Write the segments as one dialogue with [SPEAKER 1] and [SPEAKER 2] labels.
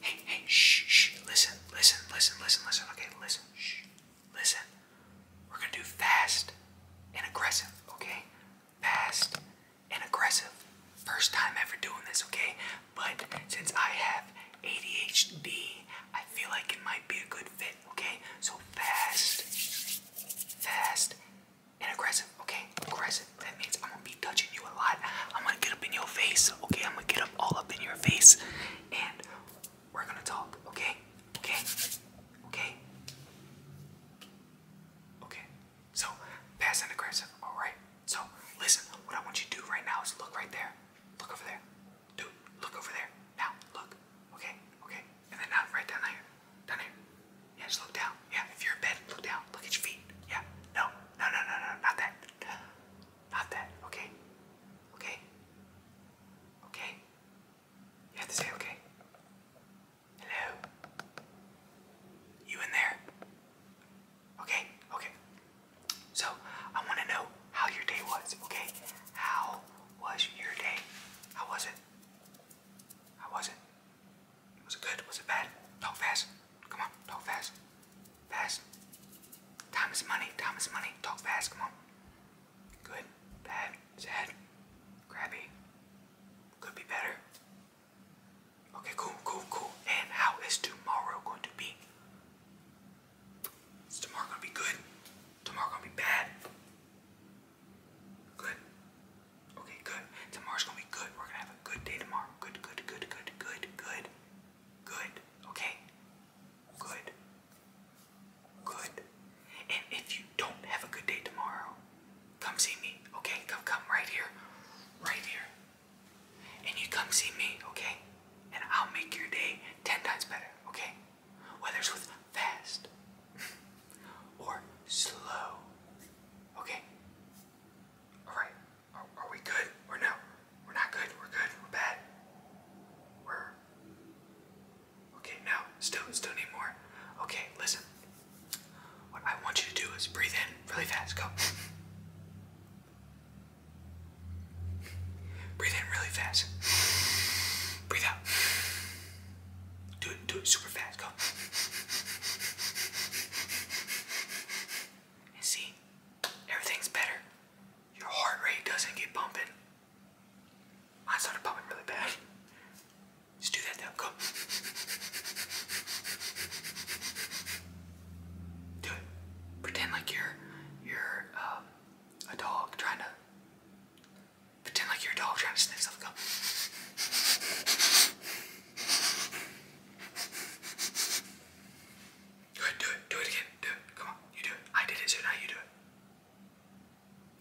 [SPEAKER 1] Hey, hey, shh, shh, listen, listen, listen, listen, listen. Okay, listen, shh, listen. We're gonna do fast and aggressive, okay? Fast and aggressive. First time ever doing this, okay? But since I have ADHD, I feel like it might be a good fit, okay? So fast, fast, and aggressive, okay? Aggressive, that means I'm gonna be touching you a lot. I'm gonna get up in your face, okay? I'm gonna get up all up in your face and we're gonna talk, okay? Okay? Okay? Okay. So, passive aggressive, alright? So, listen, what I want you to do right now is look right there. Look over there. Dude, look over there. Now, look. Okay? Okay? And then now, right down there. Down here. Yeah, just look down. Yeah, if you're in bed, look down. Look at your feet. Yeah. No, no, no, no, no, not that. Not that, okay? Okay? Okay? You have to say okay. Hello? You in there? Okay, okay. So, I want to know how your day was, okay? How was your day? How was it? How was it? Was it good? Was it bad? Talk fast. Come on, talk fast. Fast. Time is money. Time is money. Talk fast. Come on. Good. Bad. Sad. Crappy. Could be better. Okay, cool, cool, cool. And how is tomorrow going to be? Is tomorrow gonna be good? Tomorrow gonna be bad? Good. Okay, good. Tomorrow's gonna be good. We're gonna have a good day tomorrow. Good, good, good, good, good, good. Good. Okay. Good. Good. And if you don't have a good day tomorrow, come see me. Okay? Come come right here. Right here. And you come see me, okay? And I'll make your day ten times better, okay? Whether it's with fast or slow. Okay? Alright. Are, are we good or no? We're not good. We're good. We're bad. We're okay. No, still, still need more. Okay, listen. What I want you to do is breathe in really fast. Go. breathe in really fast. breathe out. Do it. Do it super fast. Go. And see, everything's better. Your heart rate doesn't get bumping. Mine started pumping really bad. Just do that now. Go. do it. Pretend like you're you're um, a dog trying to. Pretend like you're a dog trying to sniff something. Go. Good, do it, do it again, do it. Come on, you do it. I did it, so now you do it.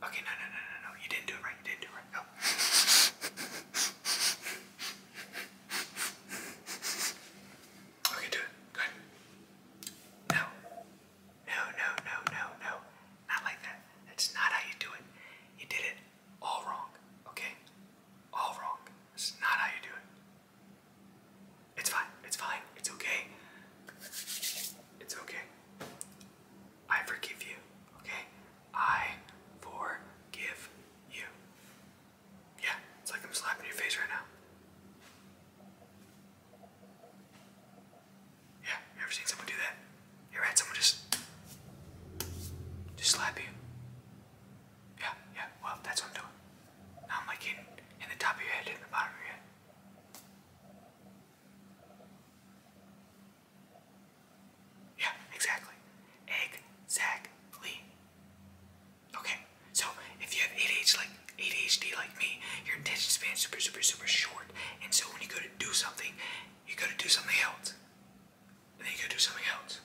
[SPEAKER 1] Okay, no, no, no, no, no. You didn't do it right, you didn't do it right. Okay, do it. Good. No. No, no, no, no, no. Not like that. That's not how you do it. You did it all wrong. Okay? All wrong. This is not how you do it. It's fine. It's fine. It's okay. It's okay. I forgive you. Okay? I forgive you. Yeah, it's like I'm slapping your face right now. Yeah, you ever seen someone do that? You're right, someone just just slap you. Yeah, yeah, well, that's what I'm doing. Now I'm like in, in the top of your head and the bottom of your head. Yeah, exactly. Exactly. Okay, so if you have ADHD like, ADHD like me, your attention span is super, super, super short. And so when you go to do something, you go to do something else and then you go do something else,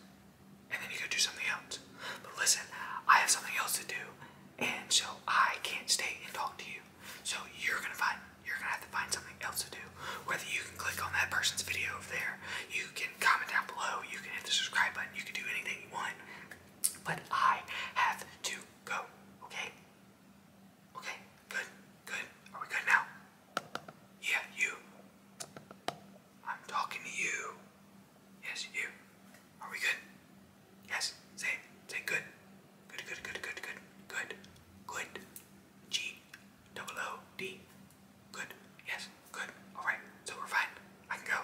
[SPEAKER 1] and then you go do something else. But listen, I have something else to do, and so I can't stay and talk to you. So you're gonna find you're gonna have to find something else to do. Whether you can click on that person's video over there, you can comment down below, you can hit the subscribe button, you can do anything you want. But I have to go. Okay? Okay, good, good. Are we good now? Yeah, you. I'm talking to you. Yes, you. Are we good? Yes. Say it. Say good. Good, good, good, good, good, good, good. G, double O, D. Good. Yes. Good. All right. So we're fine. I can go.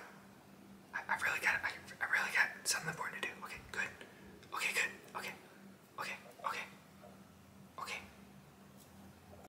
[SPEAKER 1] I, I've really got. I, I really got something important to do. Okay. Good. Okay. Good. Okay. Okay. Okay. Okay.